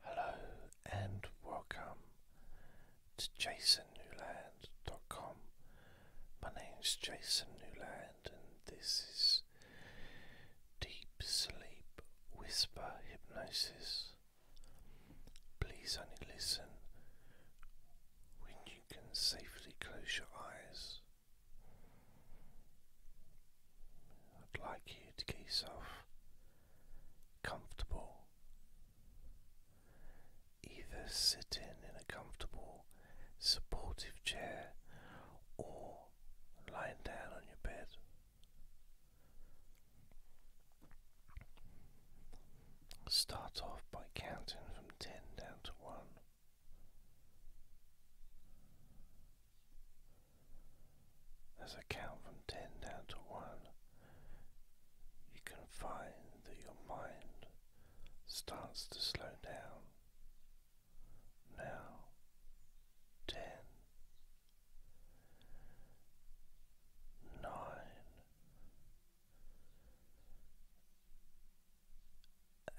Hello and welcome to jasonnewland.com. My name is Jason Newland, and this is Deep Sleep Whisper Hypnosis. Please only listen when you can safely close your eyes. I'd like you to get yourself comfortable. Either sitting in a comfortable, supportive chair or lying down on your bed. Start off by counting from 10 down to 1. As I count from ten down to one, you can find that your mind starts to slow down. Now, ten, nine,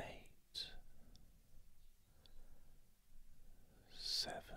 eight, seven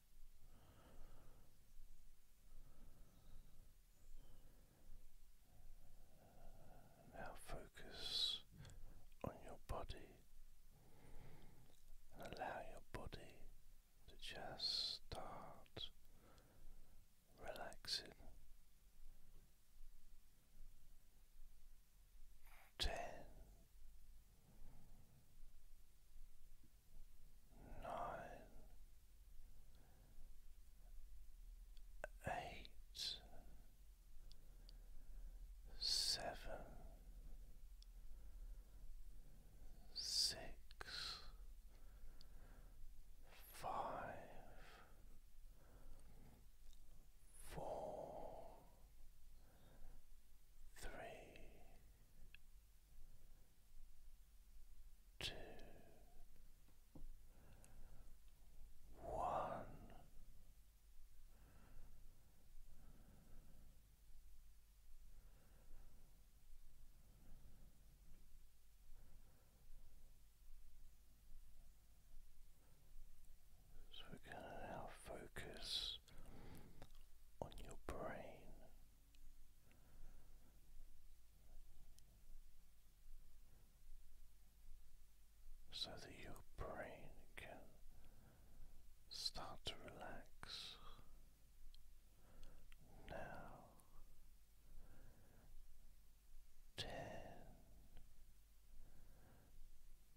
Now focus on your body and allow your body to just start relaxing. Ten nine, eight, seven, six, five, four, three two, one. So we're going to now focus focus on your brain. So that your brain can start to relax now. Ten,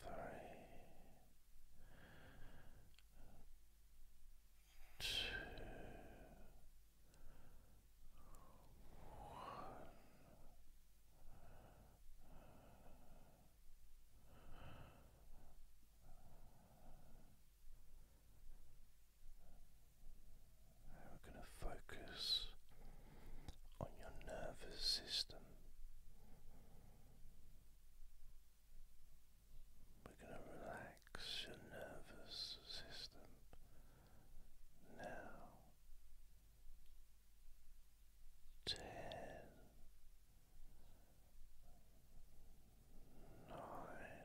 three, two, one. we're going to focus on your nervous system. We're going to relax your nervous system now. Ten, nine,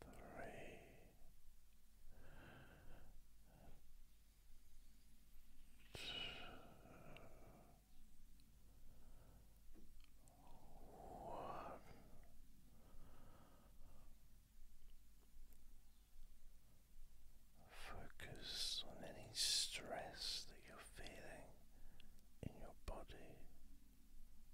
three. Focus on any stress that you're feeling in your body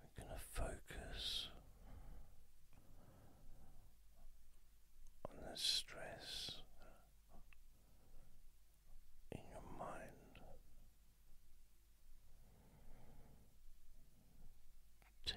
We're going to focus on the stress in your mind. Ten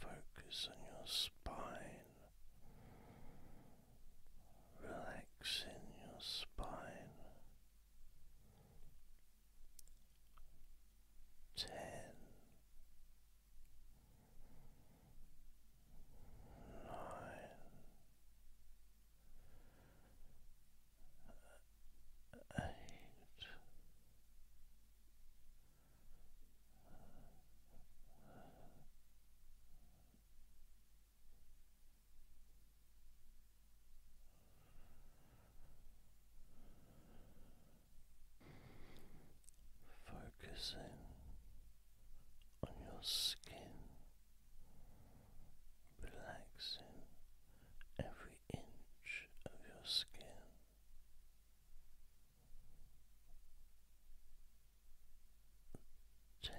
Focus on your spine, relaxing your spine. Ten, nine, eight. Focusing on your skin, relaxing every inch of your skin ten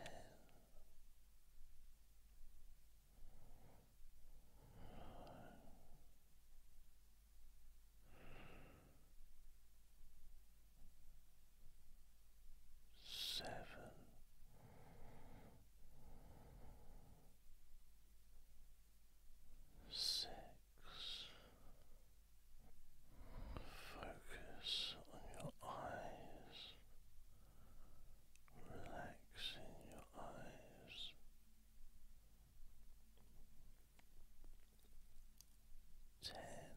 Seven, six, Focus on your eyes, relaxing your eyes. Ten.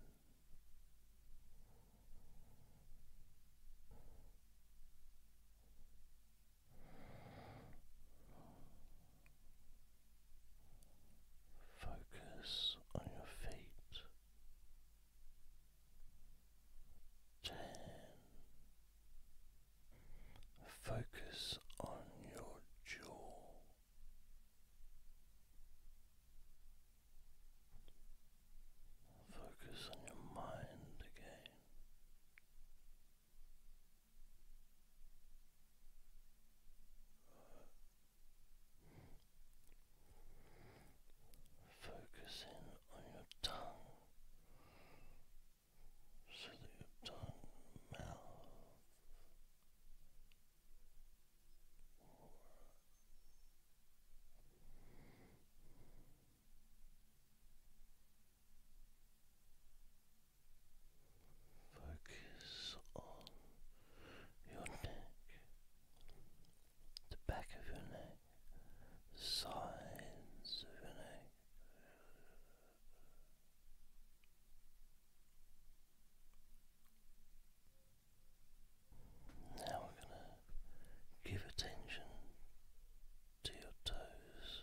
Focus on your feet. Ten. Focus on your jaw. Focus on your mind again. Focusing on your tongue so that your tongue, mouth, Focus on your neck, the back of your neck, sides of your neck. Now we're going to give attention to your toes.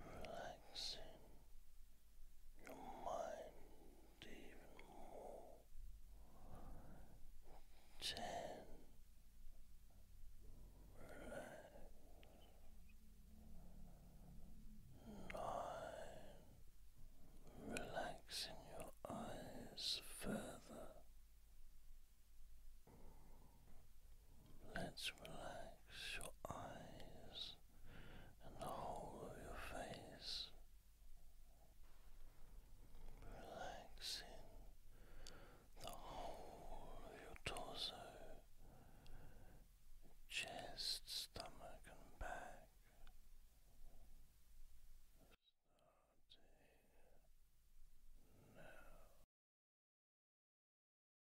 relaxing your mind even more. Ten, relax. Nine, relaxing your eyes further. Let's relax your eyes and the whole of your face. Relaxing the whole of your torso, chest, stomach, and back. Starting now.